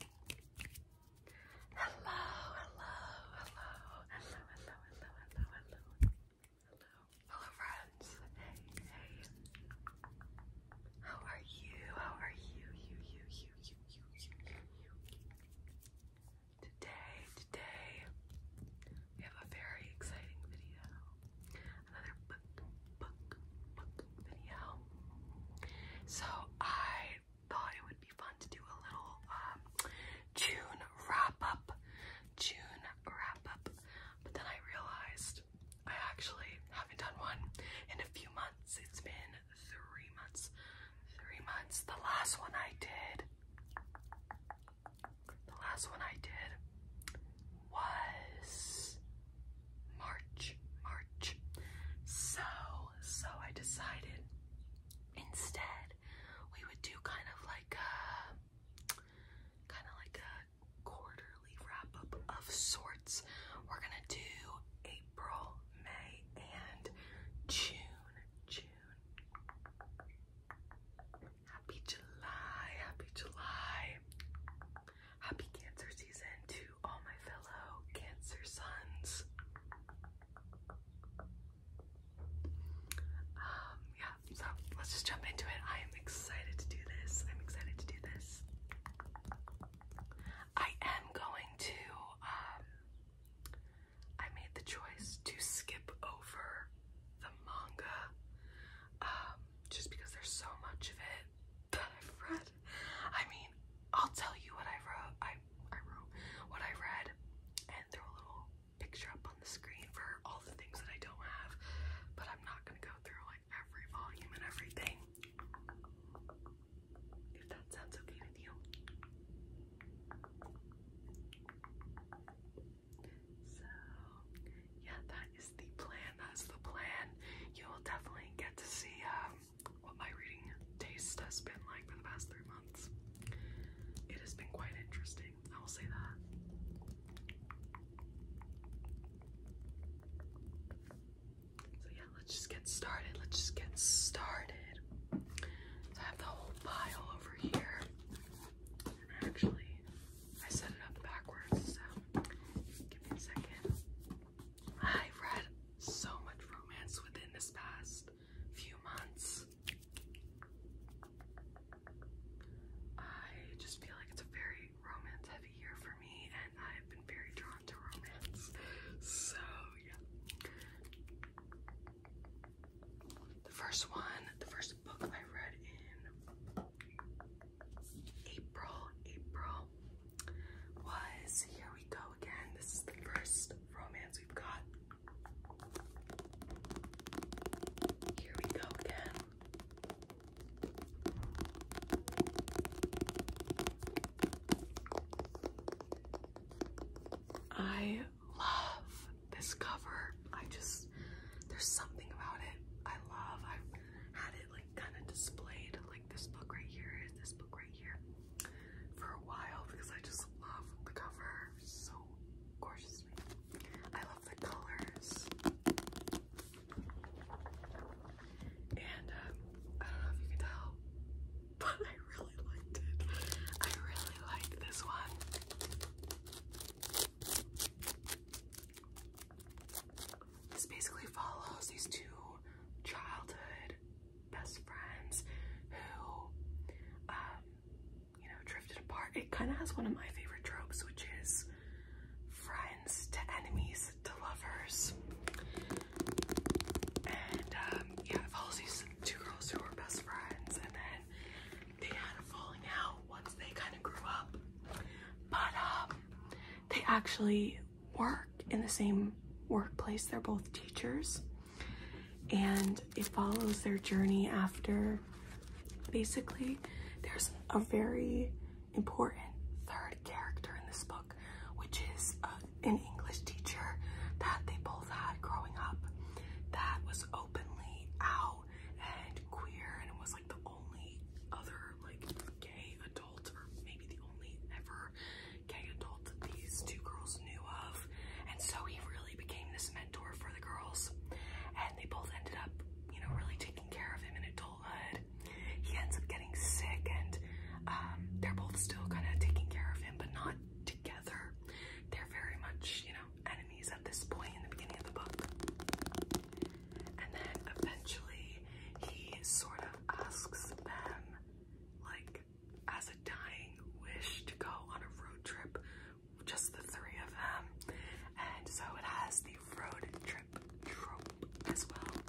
Hello, hello, hello, hello, hello, hello, hello, hello, hello, friends. Hey, hey. How are you? How are you? You, you, you, you, you, you, you. Today, today, we have a very exciting video. Another book, book, book video. So I thought it would be fun to do a little um, June wrap up, June wrap up. But then I realized I actually haven't done one in a few months. It's been three months, three months. The last one I did, the last one I did was March, March. So so I decided instead we would do kind of like a kind of like a quarterly wrap up of sorts. We're gonna do April, May, and June. June. Happy July, happy July. Happy cancer season to all my fellow Cancer sons. Um, yeah, so let's just jump into it. I am excited to do this. I'm excited to do this. I am going to, um, I made the choice to skip over the manga um, just because there's so much of it that I've read. I mean, I'll tell you what I wrote. I I wrote what I read and throw a little picture up on the screen for all the things that I don't have. But I'm not gonna go through like every volume and everything. If that sounds okay with you. So yeah, that is the plan. That's the plan. You will definitely get to see um, what my reading taste has been like for the past three months. It has been quite interesting, I will say that. So, yeah, let's just get started. Let's just get started. I have the whole pile over here. actually, I set it up backwards, so give me a second i read so much romance within this past few months. I just feel like it's a very romance heavy year for me, and I've been very drawn to romance. So, yeah. The first one, the first book I read in April, April was Here We Go Again. This is the first romance we've got. Here We Go Again. I love this cover. I just, there's something about it I love. i had it like kind of displayed, like this book right here is this book right here for a while because I just love the cover so gorgeously. I love the colors. And uh, I don't know if you can tell, but I really liked it. I really like this one. This basically follows these two childhood best friends who, um, you know, drifted apart. It kind of has one of my favorite tropes, which is friends to enemies to lovers. And um, yeah, it follows these two girls who were best friends, and then they had a falling out once they kind of grew up. But um, they actually work in the same workplace. They're both teachers, and it follows their journey after basically there's a very important third character in this book, which is uh, an English teacher that they both had growing up that was openly out and queer and was like the only other like gay adult or maybe the only ever Kaya told these two girls knew of, and so he really became this mentor for the girls. And they both ended up, you know, really taking care of him in adulthood. He ends up getting sick, and um, they're both still kind of taking care of him, but not together. They're very much, you know, enemies at this point in the beginning of the book. And then eventually, he sort of asks them, like, as a dying wish to go on a road trip, just the three of them. And so it has the road trip trope as well.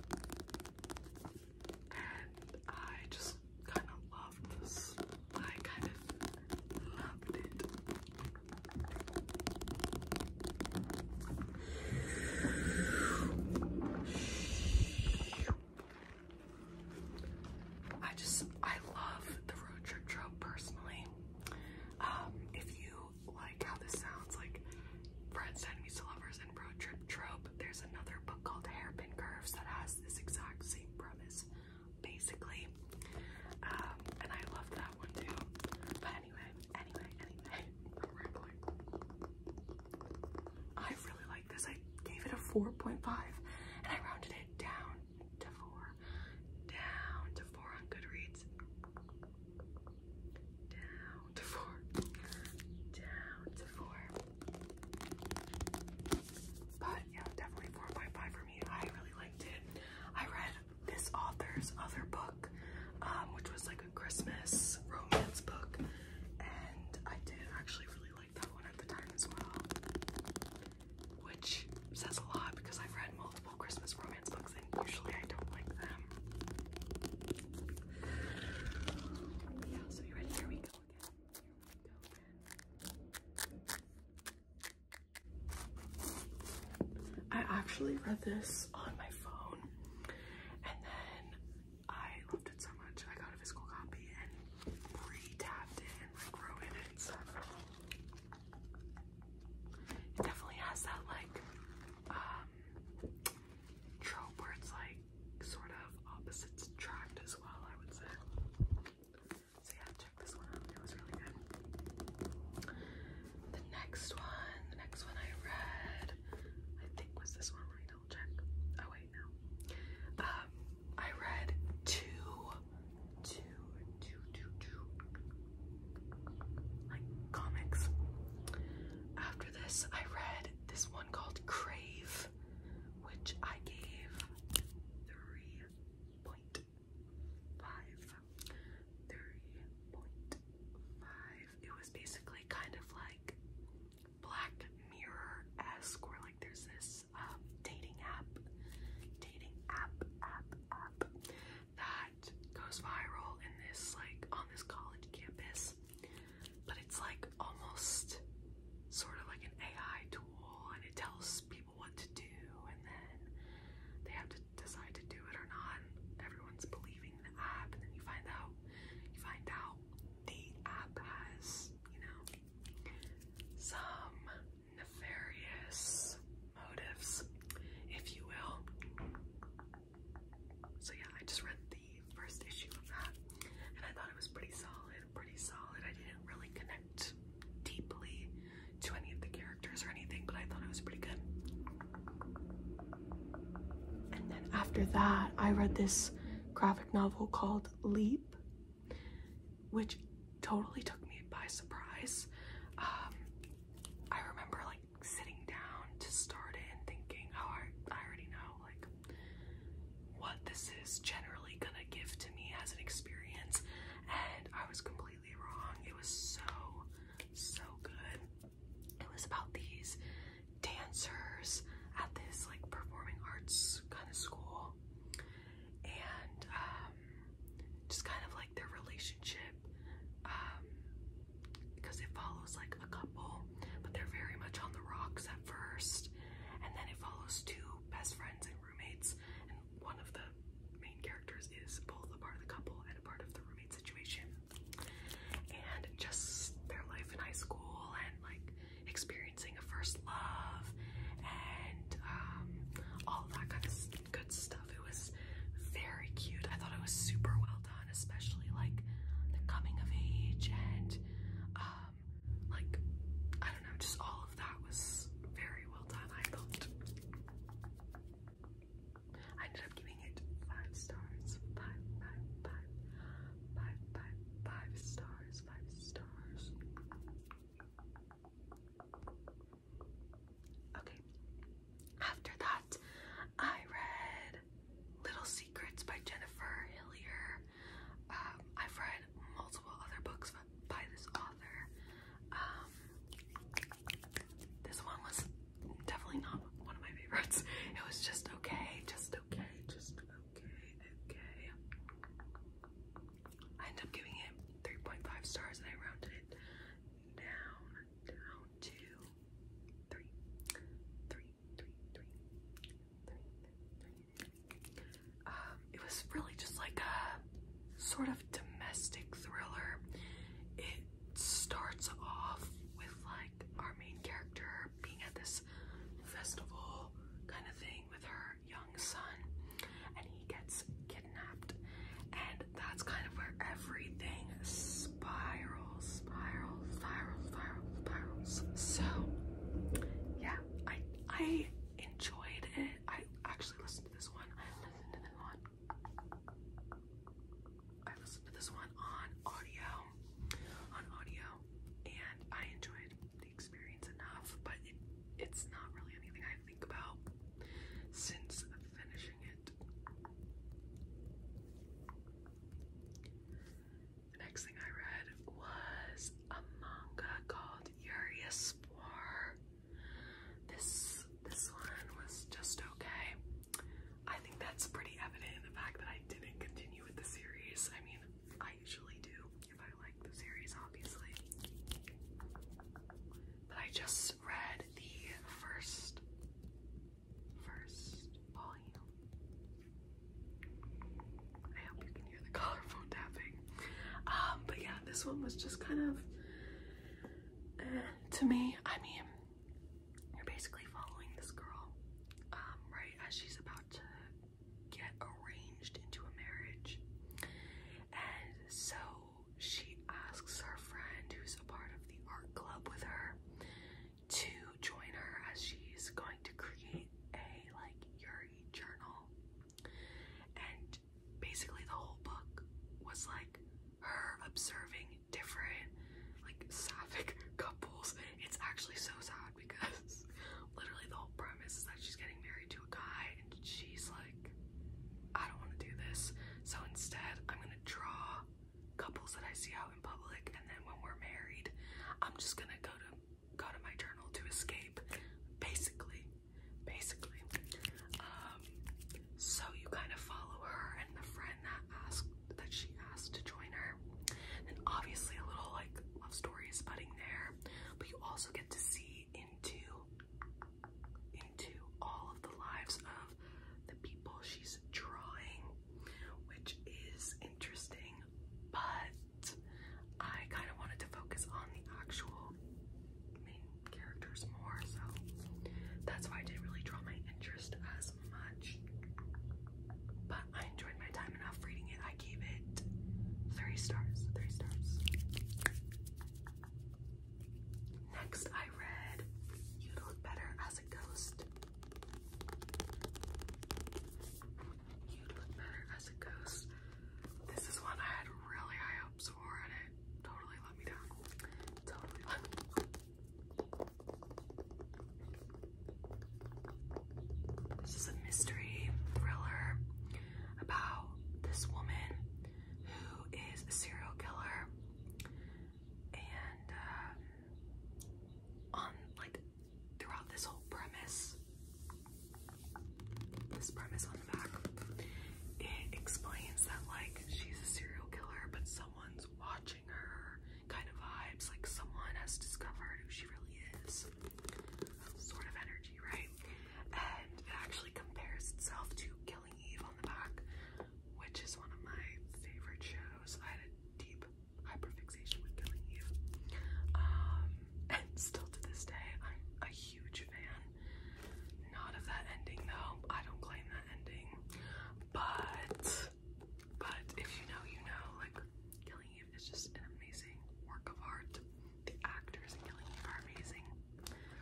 And I just kind of loved this. I kind of loved it. I just I love the road trip trope personally. Um, if you like how this sounds, like friends enemies to lovers and road trip trope, there's another book called Hairpin Curves that has this exact same premise, basically. Um, and I love that one too. But anyway, anyway, anyway, I'm rambling this. I gave it a 4.5 and I rounded it down to 4. Down to 4 on Goodreads. Down to 4. Down to 4. But yeah, definitely 4.5 for me. I really liked it. I read this author's other book, um, which was like a Christmas romance book, and I did actually really like that one at the time as well. Which says a lot because I've read multiple Christmas romance books and usually I don't like them. Yeah, so you ready? Here we go again. Here we go again. I actually read this on my phone and then I loved it so much. I got a physical copy and pre tapped it and like wrote in it. So it definitely has that like um, trope where it's like sort of opposites attract as well, I would say. So yeah, check this one out. It was really good. The next one, the next one I read, I think was this one right check. Oh wait, no. Um, I read two, two, two, two, two, like comics. After this, I read this one called Crave, which I gave three point five. Three point five. It was basically kind of like Black Mirror-esque, where like there's this um, dating app, dating app, app, app that goes viral in this like on this college campus, but it's like almost sort of like an AI tool, and it tells people what to do, and then they have to decide to do it or not. And everyone's believing the app, and then you find out, you find out the app has, you know, some nefarious motives, if you will. So yeah, I just read the first issue of that, and I thought it was pretty solid, pretty solid. I didn't really connect deeply to any of the characters or anything, but I thought it was pretty good. And then after that, I read this graphic novel called Leap which totally took me by surprise. Um, I remember like sitting down to start it and thinking, oh, I already know like what this is generally gonna give to me as an experience, and I was completely wrong. It was so, so good. It was about these dancers at this like performing arts kind of school and um, just kind of like their relationship um, because it follows like a couple but they're very much on the rocks at first and then it follows two best friends and roommates and one of the main characters is both a part of the couple and a part of the roommate situation and just their life in high school and like experiencing a first love and um, all that kind of good stuff. It was very cute. I thought it was super well done, especially like the coming of age and um, like I don't know, just all of that was very well done. I thought I ended up giving it five stars. Five, five, five, five, five, five stars. Five stars. Okay. After that, I read Little Secrets by Jennifer Hillier. Um, I've read multiple other books by this author. Um, this one was definitely not one of my favorites. It was just okay, just okay, just okay, okay. I ended up giving it 3.5 stars and I rounded down, down to three, three, three, three, three, three. Um, it was really just like a sort of domestic thriller. It starts off with like our main character being at this festival kind of thing her young son and he gets kidnapped and that's kind of where everything spirals spirals spirals spirals spirals so yeah i i enjoyed it i actually listened to this one i listened to this one i listened to this one on audio on audio and i enjoyed experience enough, but it's not really anything I think about since finishing it. The next thing I read was a manga called Urius This this one was just okay. I think that's pretty evident in the fact that I didn't continue with the series. I mean, I usually do if like the series, obviously. But I just read the first, first volume. I hope you can hear the collar tapping. Um, but yeah, this one was just kind of, eh, to me, I mean, you're basically following this girl, um, right as she's about to get arranged into a marriage. And so she asks her friend, who's a part of the art club with her, to join her as she's going to create a like Yuri journal. And basically, the whole book was like her observing different, like sapphic couples. It's actually so sad god because literally the whole premise is that she's getting married to a guy and she's like, I don't want to do this. So instead, I'm going to draw couples that I see out in public and then when we're married, I'm just going to go to go to my journal to escape basically. Basically. Um so you kind of follow her and the friend that asked that she asked to join her. And obviously a little like love story is budding there but you also get to see into into all of the lives of the people she's drawing, which is interesting, but I kind of wanted to focus on the actual main characters more, so that's why I didn't really draw my interest as much. But I enjoyed my time enough reading it. I gave it three stars. Three stars. Next, I read you Look Better as a Ghost. you Look Better as a Ghost. This is one I had really high hopes for, and it totally let me down. Totally this is a mystery thriller about this woman who is a serial killer and um, on like throughout this whole premise this premise on the back it explains that like she's a serial killer but someone's watching her kind of vibes like someone has discovered who she really is sort of energy, right? And it actually compares itself to Killing Eve on the back, which is one of my favorite shows. I had a deep hyperfixation with Killing Eve. Um, and still to this day, I'm a huge fan. Not of that ending though. I don't claim that ending. But but if you know, you know, like Killing Eve it's just an amazing work of art. The actors in Killing Eve are amazing.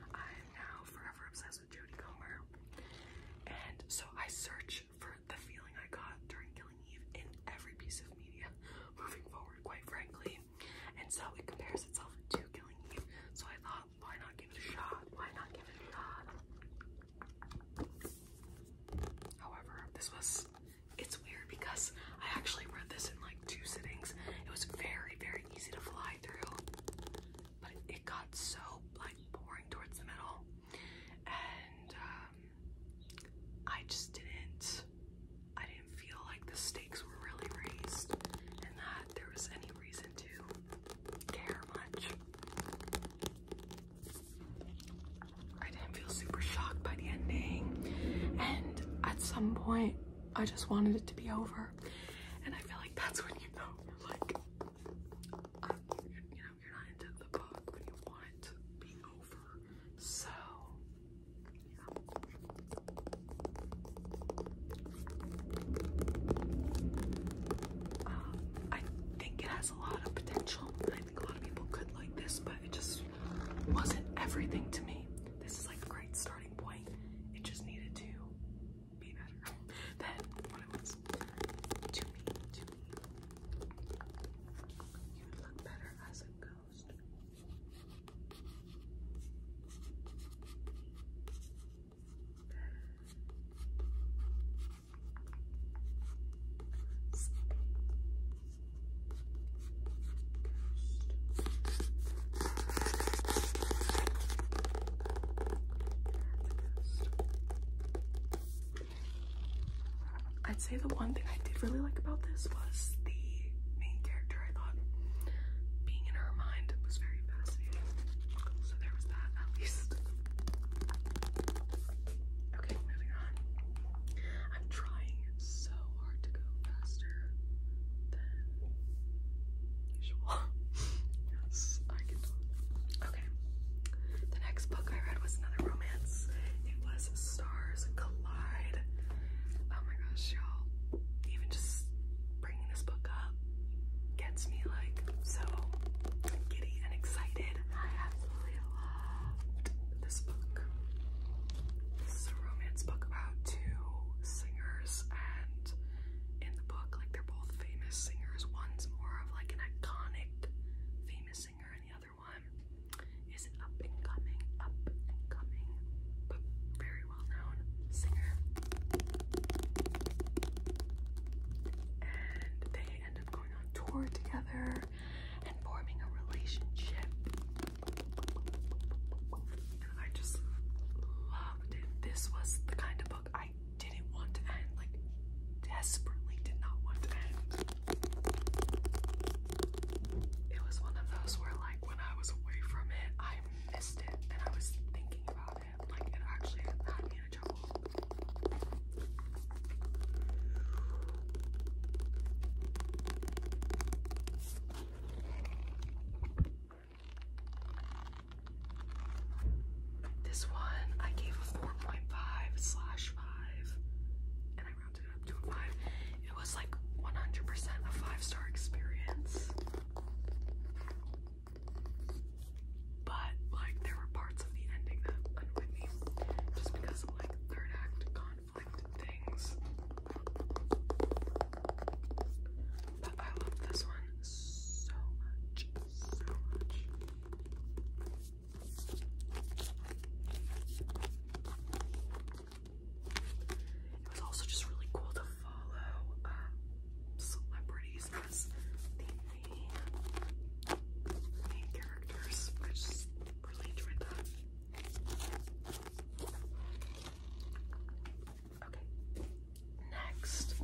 I am now forever obsessed with Jodie Comer, and so I search for the feeling I got during Killing Eve in every piece of media moving forward, quite frankly. And so it compares itself to Killing Eve. So I thought, why not give it a shot? Why not give it a shot? However, this was it's weird because I actually read this in like two sittings. It was very, very easy to fly through, but it, got so like boring towards the middle, and um, I just didn't. I didn't feel like the stakes were really raised, and that there was any reason to care much. I didn't feel super shocked by the ending. And at some point, I just wanted it to be over. And I feel like that's when you know you're like, uh, you know, you're not into the book when you want it to be over. So, um, I think it has a lot of potential. I think a lot of people could like this, but it just wasn't everything to me. This is like a great starting point. It just needed to be better than what it was. To me, to me. You would look better as a ghost. I'd say the one thing I did really like about this was the main character. I thought being in her mind was very fascinating. So there was that at least. Okay, moving on. I'm trying so hard to go faster than usual. yes, I can Okay. The next book I read was another romance. It was Stars Collide. Oh my gosh, y'all. Even just bringing this book up gets me like so giddy and excited this book. This is a romance book about two singers, and in the book, like they're both famous singers. One's more of like an iconic famous singer, and the other one is an up and coming, up and coming, but very well known singer. And they end up going on tour together and forming a relationship. I just loved it. This was the kind of book I didn't want to end, like desperately did not want to end. It was one of those where like when I was away from it, I missed it and I was thinking about it. Like it actually had me in trouble. This one I gave a 4.5 slash 5 and I rounded it up to a 5. It was like 100% a 5 star experience. But like there were parts of the ending that annoyed me just because of like third act gone things. But I love this one so much, so much. It was also just really cool to follow um, celebrities as the main characters. I just really enjoyed that. Okay. Next,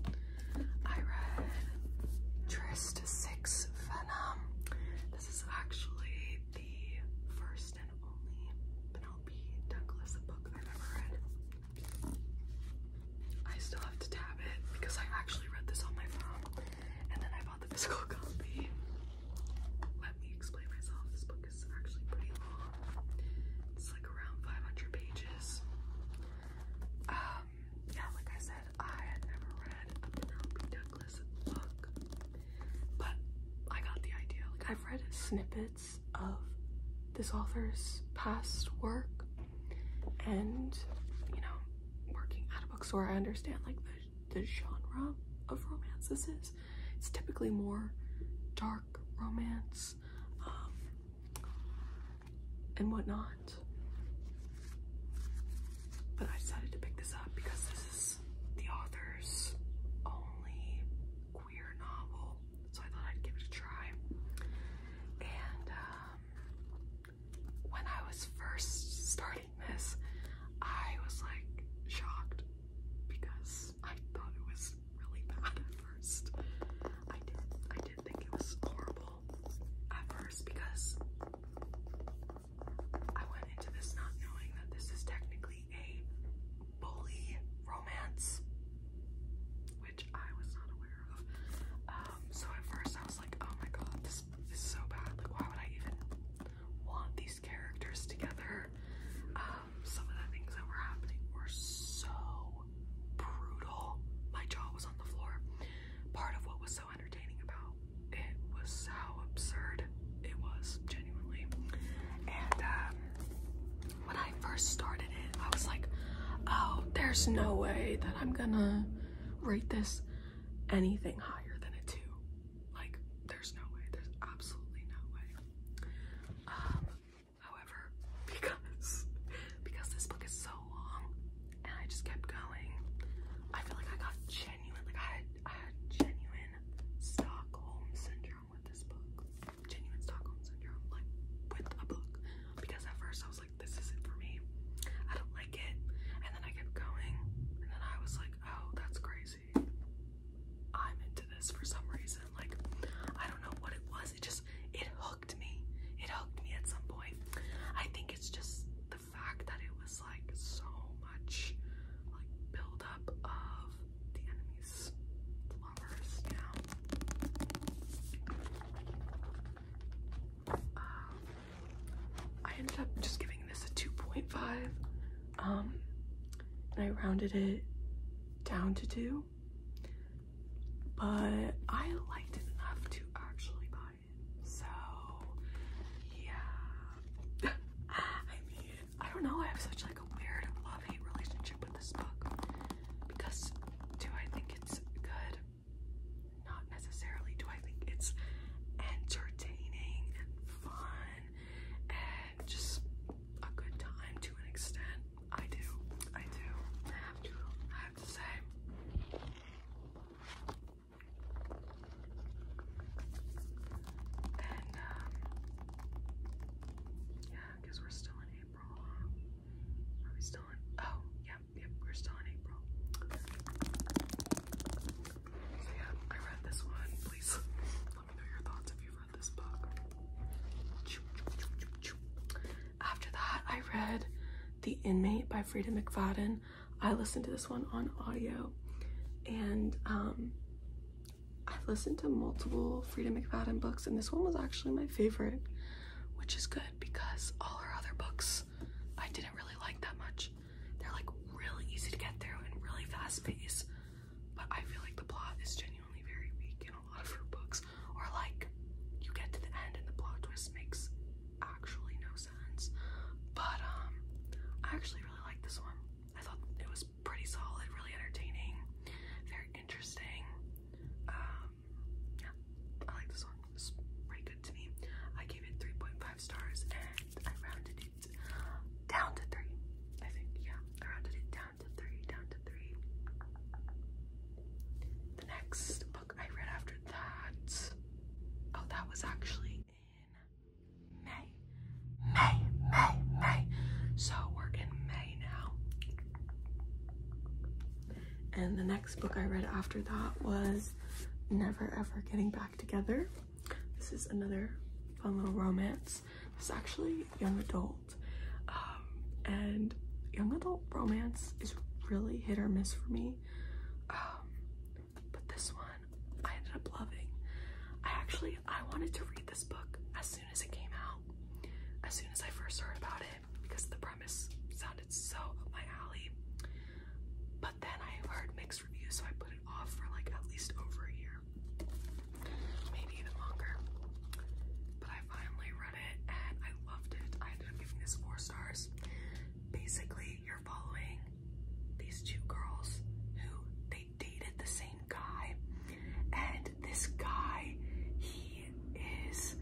I read Trist Six Venom. This is actually the first and only Penelope Douglas book I've ever read. I still have to tab it because I actually read this on my phone and then I bought the physical copy let me explain myself. This book is actually pretty long. It's like around 500 pages. Um, yeah, like I said, I had never read a Penelope Douglas book, but I got the idea. Like I've read snippets of this author's past work, and you know, working at a bookstore, I understand like the the genre of romance this is. It's typically more dark romance um, and whatnot. But I decided to pick this up because this is the author's only queer novel, so I thought I'd give it a try. And um, when I was first starting this, I was like shocked because I thought it was really bad at first. I did I did think it was horrible at first because I went into this not knowing that this is technically a bully romance, which I was not aware of. Um, so at first I was like, oh my god, this is so bad. Like why would I even want these characters together. Um, some of the things that were happening were so brutal. My jaw was on the floor. Part of what was so entertaining about it was how absurd it was, genuinely. And um, when I first started it, I was like, oh, there's no way that I'm gonna rate this anything higher than a two. Like, there's no way. There's absolutely no way. Um, however, because because this book is so long and I just kept going, I feel like I got genuine, like I had genuine Stockholm syndrome with this book. Genuine Stockholm syndrome, like with a book. Because at first I was like, this isn't for me. I don't like it. And then I kept going. And then I was like, oh, that's crazy. I'm into this for some reason. Like, I don't know what it was. It just, it hooked me. It hooked me at some point. I think it's just the fact that it was like so much like buildup of the enemy's lovers, you um, I ended up just giving this a 2.5 um, and I rounded it down to two. But I liked it enough to actually buy it. So, yeah. I mean, I don't know. I have such like a weird love-hate relationship with this book because do I think it's good? Not necessarily. Do I think it's entertaining and fun and just a good time to an extent. I do. I do. I have to. I have to say. And um, yeah, I guess we're still in April. Are we still in? Oh, yep, yep, we're still in April. So yeah, I read this one. Please, let me know your thoughts if you read this book. After that, I read The Inmate by Frida McFadden. I listened to this one on audio and um, I've listened to multiple Frida McFadden books, and this one was actually my favorite, which is good because all her other books I didn't really like that much. They're like really easy to get through and really fast pace. But I feel like the plot is genuinely very weak in a lot of her books. Or like you get to the end and the plot twist makes actually no sense. But um I actually really like this one. I thought it was pretty solid, really entertaining, very interesting. Um yeah, I like this one. It's pretty good to me. I gave it 3.5 stars and I rounded it down to three. I think, yeah. I rounded down to three, down to three. The next book I read after that, oh, that was actually in May. May, May, May. So we're in May now. And the next book I read after that was Never Ever Getting Back Together. This is another fun little romance romance. This is actually young adult, um, and young adult romance is really hit or miss for me. Um, but this one I ended up loving. I actually I wanted to read this book as soon as it came out, as soon as I first heard about it, because the premise sounded so up my alley. But then I heard mixed reviews, so I put off for like at least over a year, maybe even longer. But I finally read it and I loved it. I ended up giving this four stars. Basically, you're following these two girls who they dated the same guy, and this guy, he is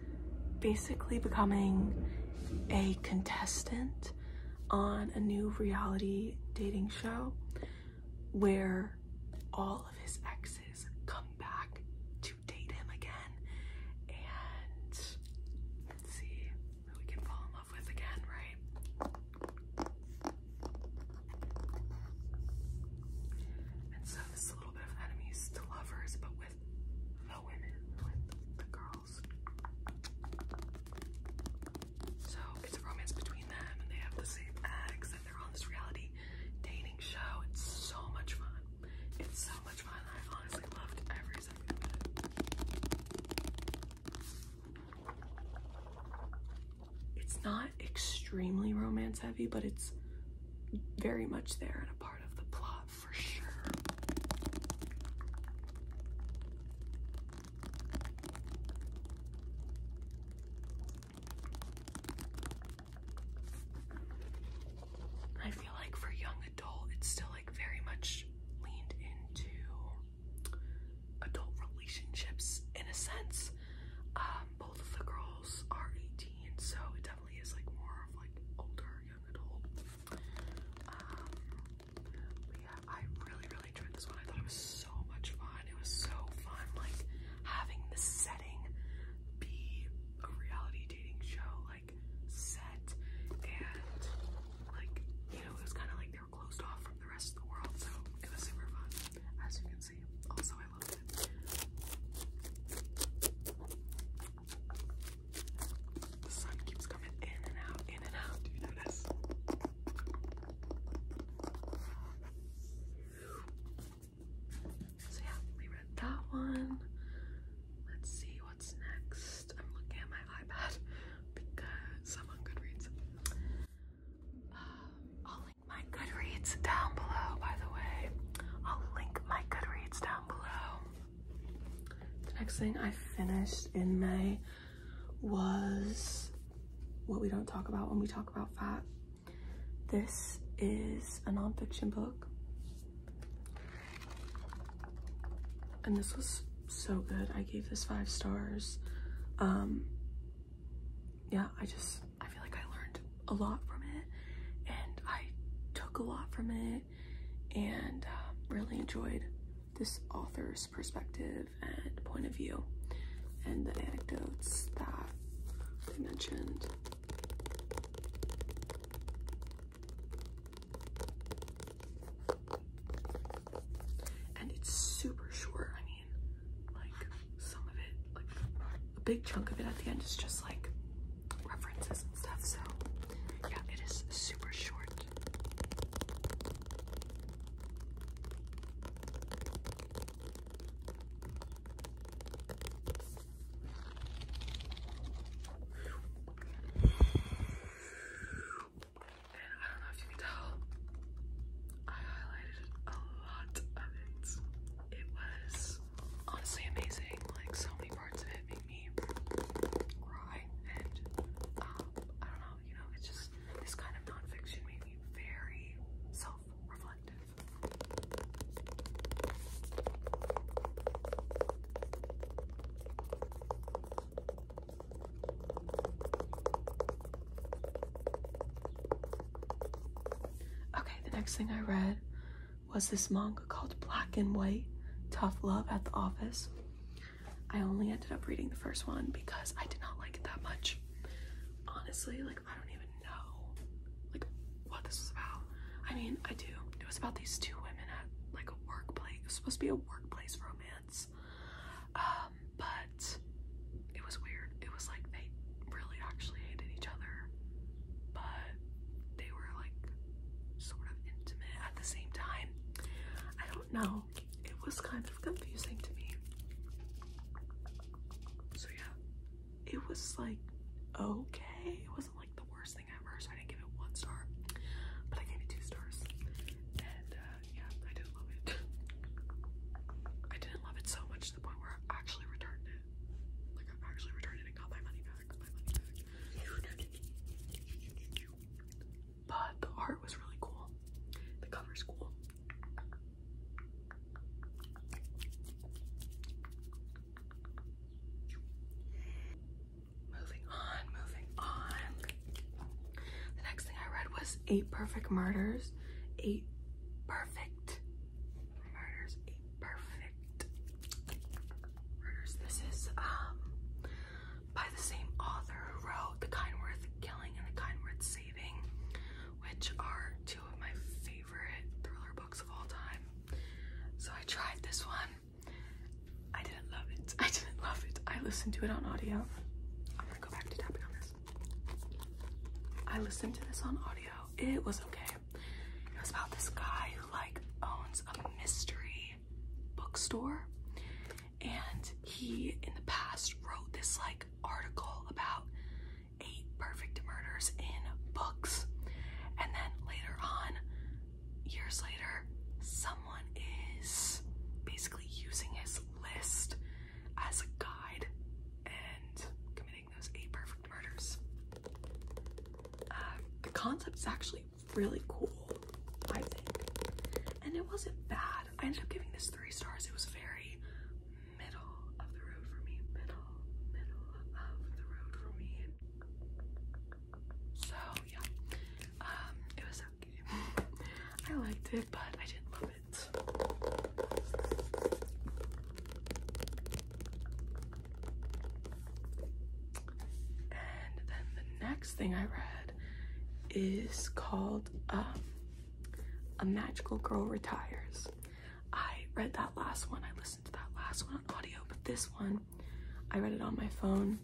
basically becoming a contestant on a new reality dating show where all of his exes come back to date him again and let's see who we can fall in love with again, right? And so this a little bit of enemies to lovers, but with the women, with the girls. So it's a romance between them and they have the same ex they're on this reality dating show. It's so much fun. It's so much fun. I honestly loved every second It's not extremely romance heavy, but it's very much there and a part of the plot for sure. I feel like for young adult, it's still like very much leaned into adult relationships in a sense. Um, both of the girls are 18, so it definitely is like more of like older young adult. Um, but yeah, I really, really I tried this one. I thought it was so much fun. It was so fun, like having the setting be a reality dating show, like set and like you know, it was kind of like they were closed off from the rest of the world, so it was super fun, as you can see. Also, I loved it. The sun keeps coming in and out, in and out. Do you notice? So yeah, we read that one. Let's see what's next. I'm looking at my iPad because i Goodreads. Uh, I'll link my Goodreads down below, by the way. I'll link my Goodreads down below. The next thing I finished in May was What We Don't Talk About When We Talk About Fat this is a nonfiction book. And this was so good. I gave this five stars. Um, yeah, I just, I feel like I learned a lot from it and I took a lot from it and uh, really enjoyed this author's perspective and point of view and the anecdotes that they mentioned. And it's super short. I mean, like some of it, like a big chunk of it at the end is just like references and stuff. So, yeah, it is super short. I don't know if you can tell, I highlighted a lot of it. It was honestly amazing. Like so many parts of it made me cry, and I don't know. You know, it's just this kind of nonfiction made me very self-reflective. Okay, the next thing I read was this manga called Black and White Tough Love at the Office. I only ended up reading the first one because I did not like it that much. Honestly, like I don't even know like what this was about. I mean, I do. It was about these two women at like a workplace. It was supposed to be a workplace romance. Um, but it was weird. It was like they really actually hated each other, but they were like sort of intimate at the same time. I don't know. It was kind of confusing to me. So yeah, it was like okay. It wasn't like the worst thing ever, so I didn't give it one star, but I gave it two stars. And uh, yeah, I didn't love it. I didn't love it so much to the point where I actually returned it. Like I actually returned it and got My money back. But the art was really cool. The cover's cool. Moving on, moving on. The next thing I read was Eight Perfect Murders. Eight Perfect Murders. Eight Perfect Murders. This is um by the same author who wrote The Kind Worth Killing and The Kind Worth Saving which are two of my favorite thriller books of all time. So I tried this one. I didn't love it. I didn't love it. I listened to it on audio. I'm gonna go back to tapping on this. I listened to this on audio. It was okay. It was about this guy who like owns a mystery bookstore and he in the past wrote this like article about eight perfect murders in books. And then later on, years later, someone is basically using his list as a guide and committing those eight perfect murders. Uh, the concept is actually really cool, I think. And it wasn't bad. I ended up giving this three stars. It was very middle of the road for me. Middle, middle of the road for me. So yeah, um, it was okay. I liked it, but I didn't love it. And then the next thing I read is called um, A Magical Girl Retires. I read that last one. I listened to that last one on audio, but this one, I read it on my phone.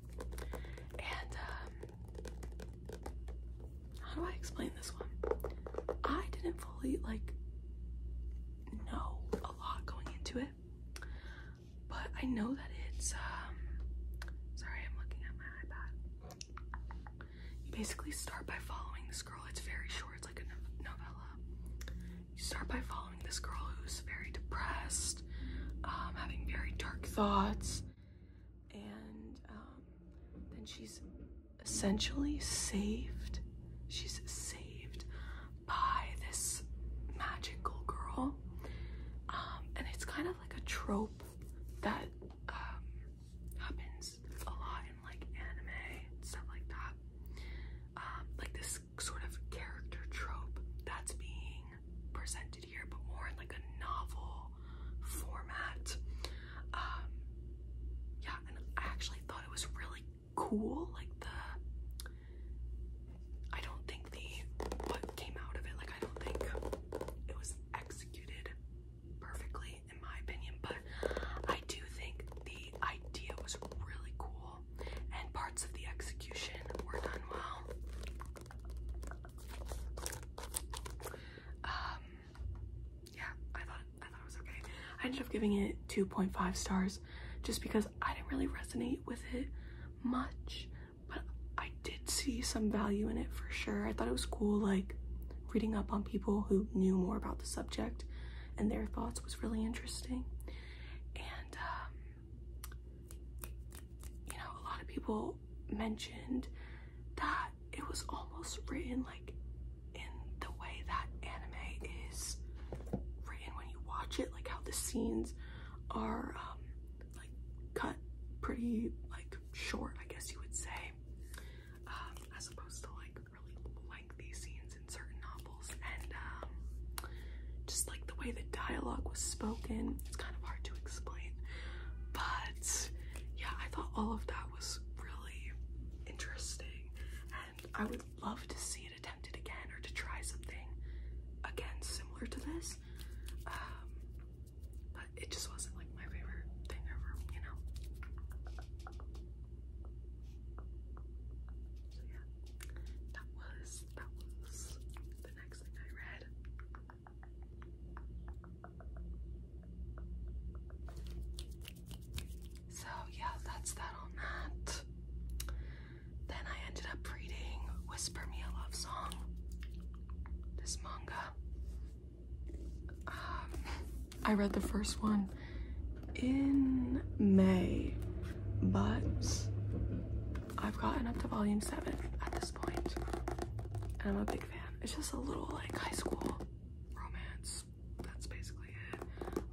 And um, how do I explain this one? I didn't fully like know a lot going into it, but I know that it's um. Sorry, I'm looking at my iPad. You basically start by following this girl. It's very short, it's like a novella. You start by following this girl who's very depressed, um, having very dark thoughts, and um, then she's essentially saved. She's saved by this magical girl. Um, and it's kind of like a trope that happens a lot in like anime stuff like that. Um, like this sort of character trope that's being presented here, but more in like a novel format. Um, yeah, and I actually thought it was really cool. Like the, I don't think the what came out of it. Like I don't think it was executed perfectly in my opinion, but I do think the idea was really cool and parts of the execution were done well. Um yeah, I thought I thought it was okay. I ended up giving it 2.5 stars just because I didn't really resonate with it much, but I did see some value in it for sure. I thought it was cool like reading up on people who knew more about the subject and their thoughts was really interesting. And, um, you know, a lot of people mentioned that it was almost written like in the way that anime is written when you watch it, like how the scenes are um, like cut pretty like short, I guess you would say, um, as opposed to like really like these scenes in certain novels and um, just like the way the dialogue was spoken. It's kind of hard to explain, but yeah, I thought all of that was really interesting and I would love to see it attempted again or to try something again similar to this. Um, but it just wasn't like my favorite thing ever, you know. So yeah, that was that was the next thing I read. So yeah, that's that on that. Then I ended up reading Whisper Me a Love Song, this manga. I read the first one in May, but I've gotten up to volume seven at this point, and I'm a big fan. It's just a little like high school romance. That's basically it.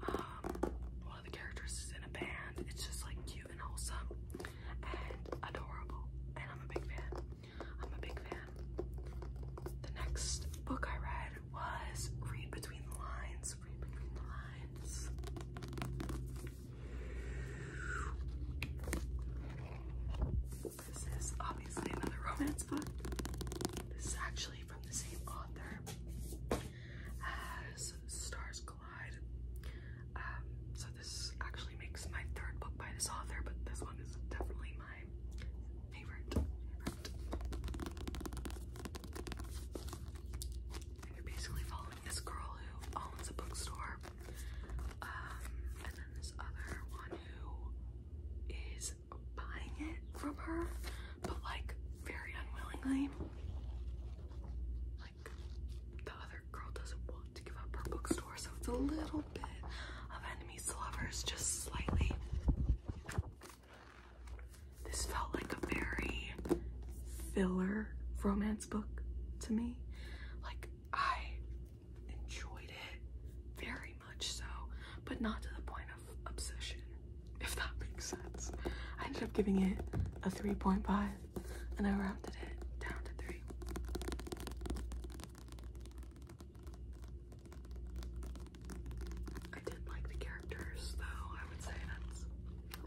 Um, one of the characters is in a band. It's just like cute and wholesome and adorable, and I'm a big fan. I'm a big fan. The next book I read was Read Between the Lines. Read Between the Lines. This is obviously another romance book. This is actually from the same author as Stars Collide. Um, so this actually makes my third book by this author, but this one is definitely my favorite, favorite. you're basically following this girl who owns a bookstore, um, and then this other one who is buying it from her, but like very unwillingly. Like the other girl doesn't want to give up her bookstore, so it's a little bit of enemies to lovers, just slightly. This felt like a very filler romance book to me. Like, I enjoyed it very much so, but not to the point of obsession, if that makes sense. I ended up giving it a 3.5 and I rounded it down to 3. I did like the characters, though. I would say that's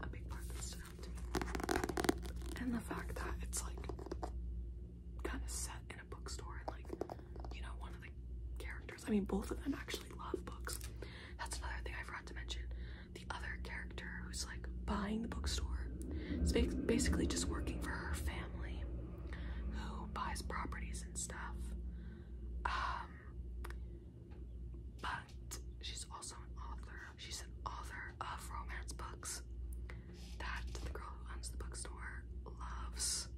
a big part that stood out to me. And the fact that it's like kind of set in a bookstore, and like you know, one of the characters. I mean, both of them actually love books. That's another thing I forgot to mention. The other character who's like buying the bookstore is basically just working for her family who buys properties and stuff. Um, but she's also an author. She's an author of romance books that the girl who owns the bookstore loves,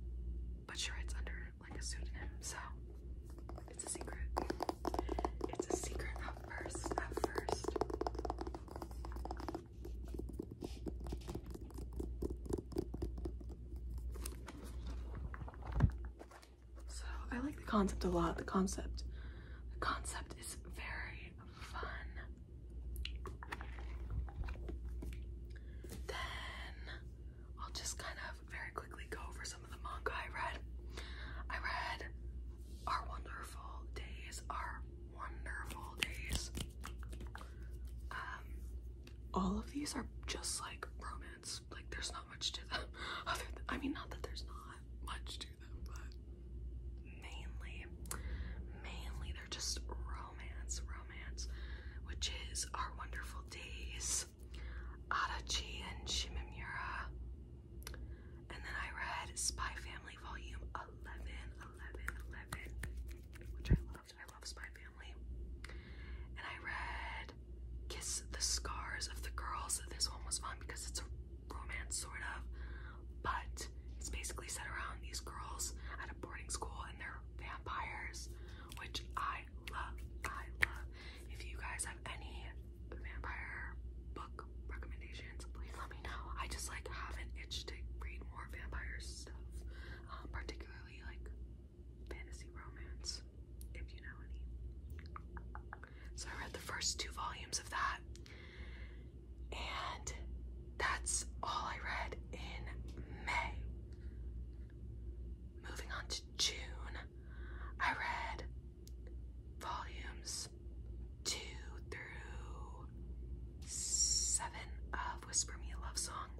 but she writes under like a pseudonym, so it's a secret. It's a secret at first, at first. So I like the concept a lot. The concept, the concept is very fun. Then I'll just kind of very quickly go over some of the manga I read. I read Our Wonderful Days, Our Wonderful Days. Um, all of these are just like romance like there's not much to them. I mean, not that there's not much to them, but mainly, mainly they're just romance, romance, which is Our Wonderful Days, Adachi and Shimamura, and then I read Spy Family Volume 11, which I love. I love Spy Family. And I read Kiss the Scars of the Girls. This one was fun because it's a romance, sort of, but it's basically set around these girls at a boarding school and they're vampires, which I love. I love. If you guys have any vampire book recommendations, please let me know. I just like have an itch to read more vampire stuff, um, particularly like fantasy romance, if you know any. So I read the first two volumes of that, and that's all I read in May. Moving on to June, I read volumes two through seven of Whisper Me a Love Song.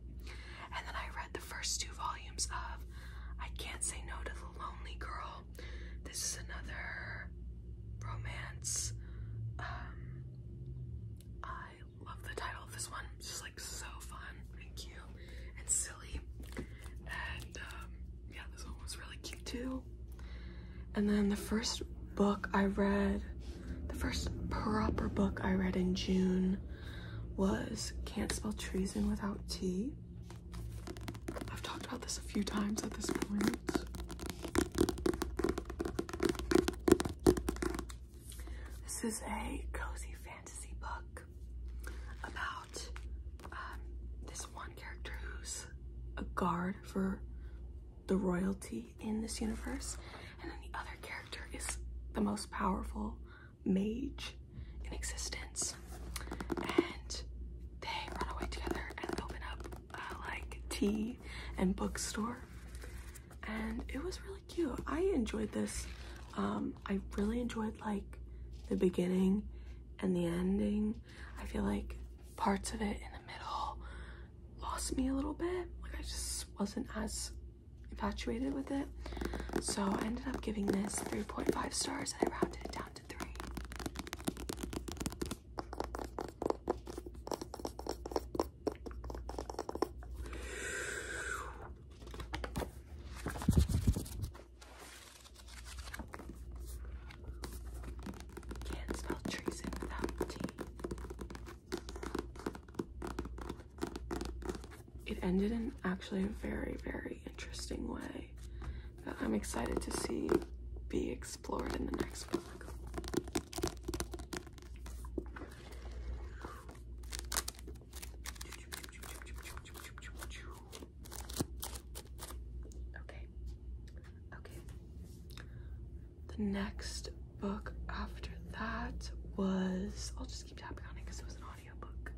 And then I read the first two volumes of I Can't Say No to the Lonely Girl. This is another romance. Um, I love the title of this one. It's just like so fun and cute and silly. And um, yeah, this one was really cute too. And then the first book I read, the first proper book I read in June was Can't Spell Treason Without T. have talked about this a few times at this point. This is a cozy fantasy book about um, this one character who's a guard for the royalty in this universe, and then the other character is the most powerful mage in existence, and they run away together and open up uh, like tea and bookstore, and it was really cute. I enjoyed this. Um, I really enjoyed like the beginning and the ending. I feel like parts of it in the middle lost me a little bit. Like I just wasn't as infatuated with it. So I ended up giving this 3.5 stars and I rounded it down to three. Can't smell trees without tea it ended in actually a very, very interesting way that I'm excited to see be explored in the next book. Okay. Okay. The next book after that was I'll just keep tapping on it because it was an audio book.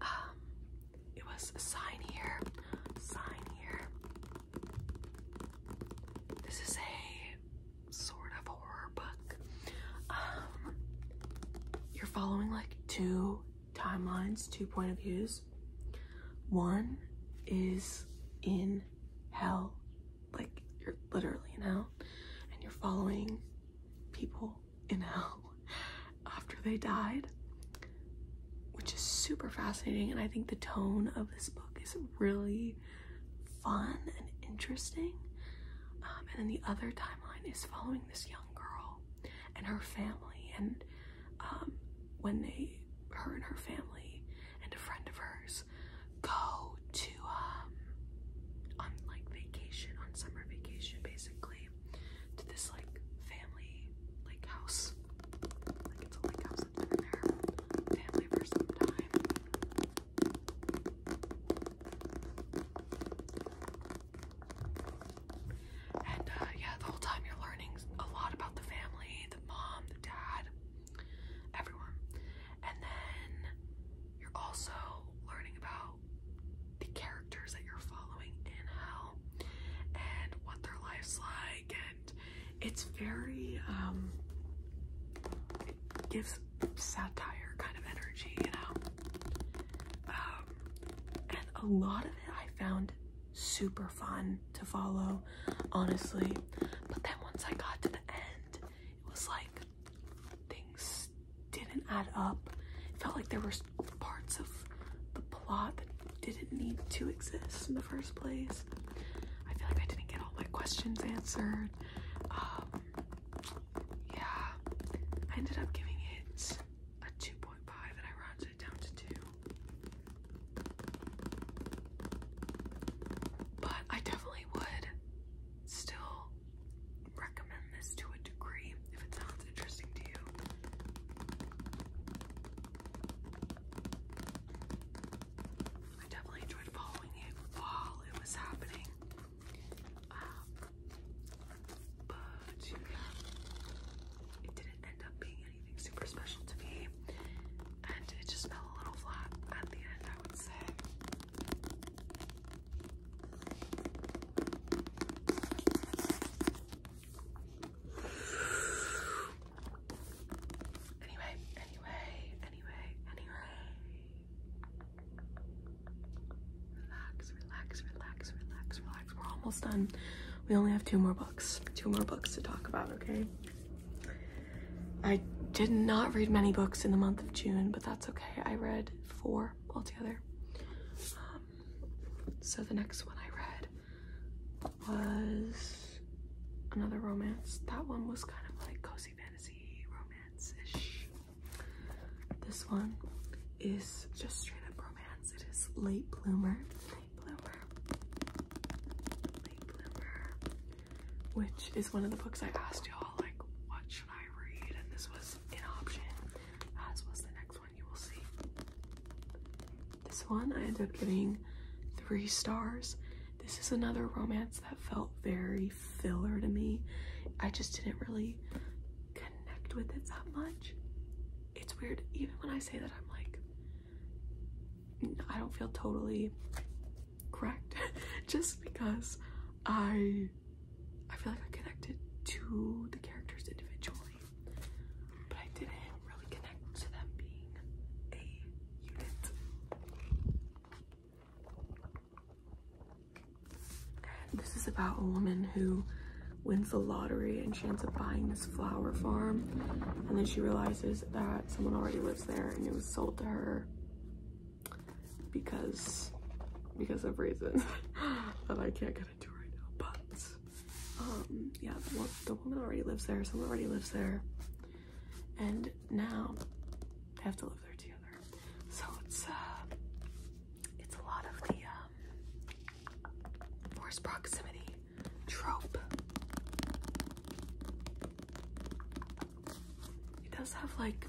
Um, it was sign here, sign here. This is a sort of horror book. Um, you're following like two timelines, two point of views. One is in hell like you're literally now, and you're following people in hell after they died which is super fascinating and i think the tone of this book is really fun and interesting um, and then the other timeline is following this young girl and her family and um, when they her and her family and a friend of hers go to um on like vacation on summer vacation basically to this like family like house like it's a like house that there family for some time and uh, yeah the whole time you're learning a lot about the family the mom the dad everyone. And then you're also learning about the characters that you're following in hell and what their life's like and it's very um gives satire kind of energy, you know. Um, and a lot of it I found super fun to follow, honestly. But then once I got to the end, it was like things didn't add up. It felt like there were parts of the plot that didn't need to exist in the first place. I feel like I didn't get all my questions answered. Um, yeah, I ended up giving it a 2.5 and I rounded it down to 2. But I definitely would still recommend this to a degree if it sounds interesting to you. I definitely enjoyed following it while it was happening. Um, but it didn't end up being anything super special to me, and it just fell a little flat at the end, I would say. Anyway, anyway, anyway, anyway. Relax, relax, relax, relax, relax. We're almost done. We only have two more books. Two more books to talk about, okay? I did not read many books in the month of June, but that's that's okay. I read four altogether. Um, so the next one I read was another romance. That one was kind of like cozy fantasy romance ish. This one is just straight up romance. It is Late Bloomer. Late Bloomer which is one of the books I asked y'all, like, what should I read? And this was an option, as was the next one you will see. This one I ended up giving three stars. This is another romance that felt very filler to me. I just didn't really connect with it that much. It's weird, even when I say that, I'm like, I don't feel totally correct just because I I feel like I connected to the characters individually, but I didn't really connect to them being a unit. This is about a woman who wins the lottery and she ends up buying this flower farm and then she realizes that someone already lives there and it was sold to her because because of reasons that I can't get into right now. But um, yeah, the, woman already lives there. Someone already lives there, and now they have to live there together. So it's uh, it's a lot of the um, forced proximity trope. It does have like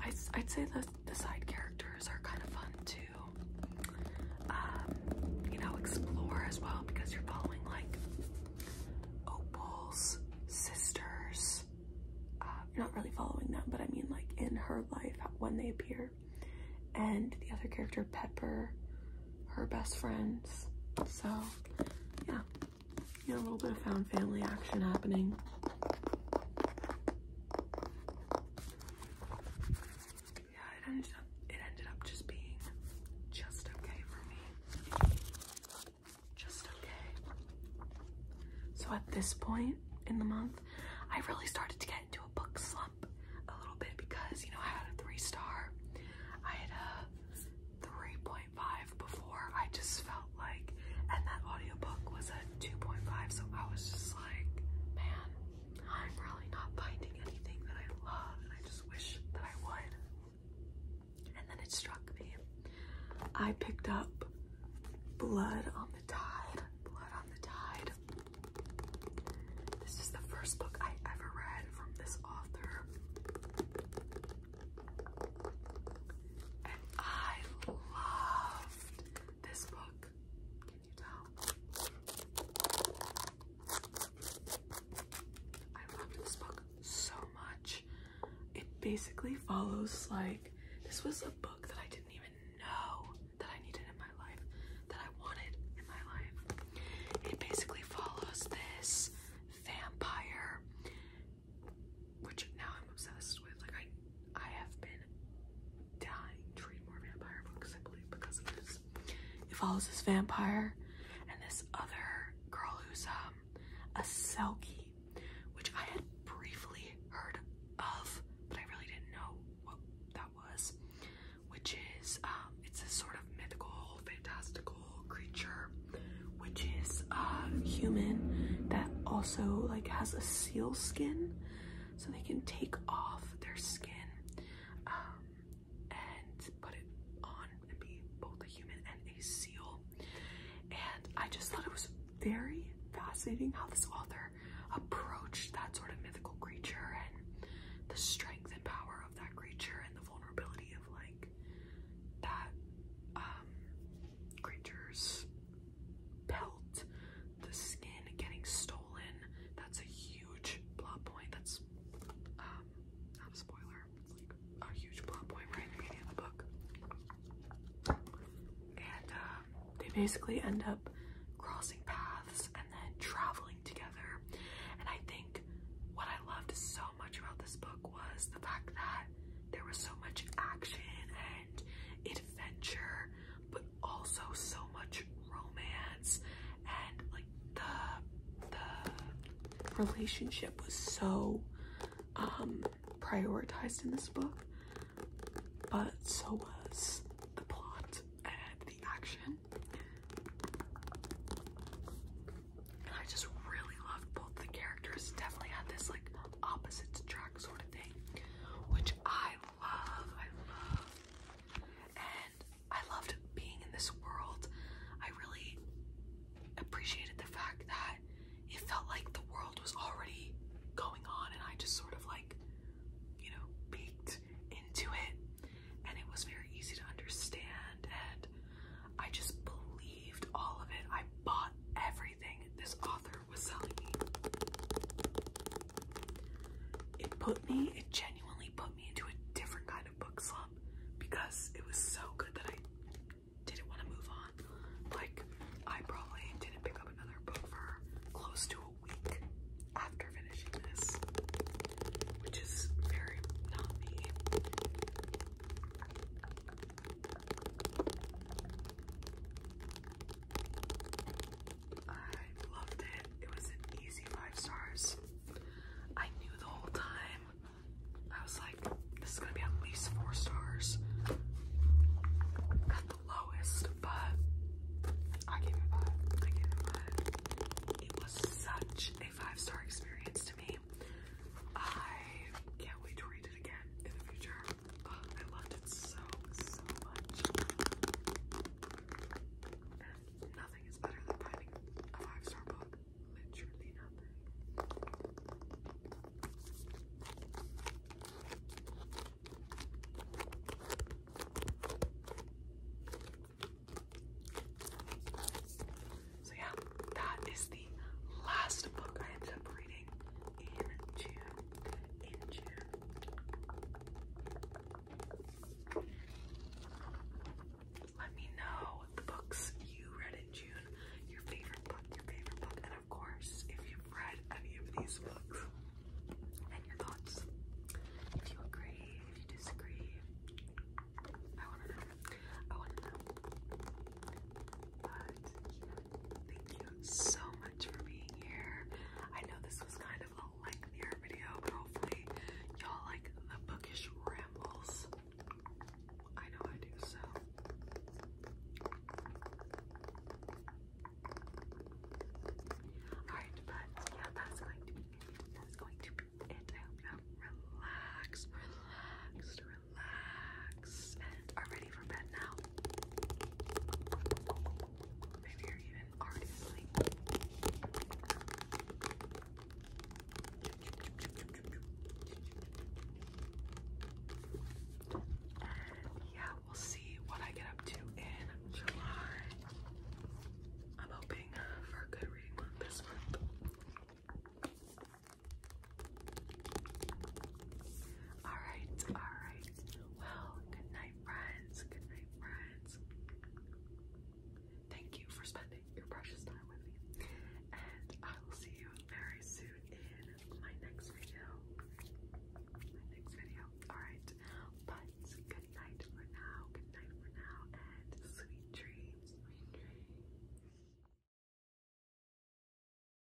I, I'd say the, the side characters are kind of fun too, um, you know, explore as well because you're following like Opal's sisters. Uh, you're not really following them, but I mean like in her life when they appear. And the other character, Pepper, her best friends. So, yeah, yeah, a little bit of found family action happening. Yeah, it ended up it ended up just being just okay for me. Just okay. So at this point in the month, I really started to get into a book slump a little bit because you know I had a three star, I had a three point before. I just felt like, and that audio book was a 2.5, so I was just like, man, I'm really not finding anything that I love, and I just wish that I would. And then it struck me. I picked up Blood on the Tide. Blood on the Tide. This is the first book I ever read from this author. And I loved this book. Can you tell? I loved this book so much. It basically follows like this was a book that I didn't even know that I needed in my life, that I wanted in my life. It basically follows this vampire which now I'm obsessed with. Like I, I have been dying to read more vampire books. I believe because of this. It follows this vampire and this other girl who's um a selkie, which I had briefly heard of, but I really didn't know what that was. Which is um, it's a sort of mythical, fantastical creature which is a um, human that also like has a seal skin, so they can take off their skin um, and put it on and be both a human and a seal. And I just thought it was very fascinating how this author approached that sort of mythical creature and the strength and power of that creature and the vulnerability of like that um, creature's pelt, the skin getting stolen. That's a huge plot point. That's um, not a spoiler. It's like a huge plot point right in the book. And um, they basically end up crossing paths and then traveling together. And I think what I loved so much about this book was the fact that there was so much action and adventure, but also so much romance and like the the relationship was so um, prioritized in this book, but so was the plot and the action. And I just really loved both the characters. Definitely had this like opposite track sort of thing, which I love. I love, I loved being in this world. I really appreciated the fact that it felt like the world was already going on, and I just sort of like, you know, peeked into it, and it was very easy to understand. And I just believed all of it. I bought everything this author was selling me. It put me, it genuinely put me into a different kind of book slump because it was so good that I didn't want to move on. Like, I probably didn't pick up another book for close to a week after finishing this, which is very not me. I loved it. It was an easy five stars. I knew the whole time. I was like, this is gonna be at least four stars. At the lowest, but I gave it five. I gave it five. It was such a five-star experience to me. I can't wait to read it again in the future. Oh, I loved it so, so much. And nothing is better than finding a five star book. Literally nothing. So, yeah, that is the last book I ended up reading in June. In June. Let me know the books you read in June, your favorite book, your favorite book, and of course, if you've read any of these books, and your thoughts. If you agree, if you disagree, I want to know. I want to know. But thank you so much for being here. I know this was kind of a lengthier video, but hopefully y'all like the bookish rambles. I know I do so. Alright, but yeah, that's going to be That's going to be it. I hope you have relaxed, relaxed, relaxed relaxed are ready for bed now. Maybe you're even already asleep. Yeah, we'll see what I get up to in July. I'm hoping for a good reading month this month. Alright, alright. Well, good night, friends. Good night, friends. Thank you for spending your precious time with me. And I will see you very soon in my next video. My next video. Alright. But good night for now. Good night for now. And sweet dreams. Sweet dreams.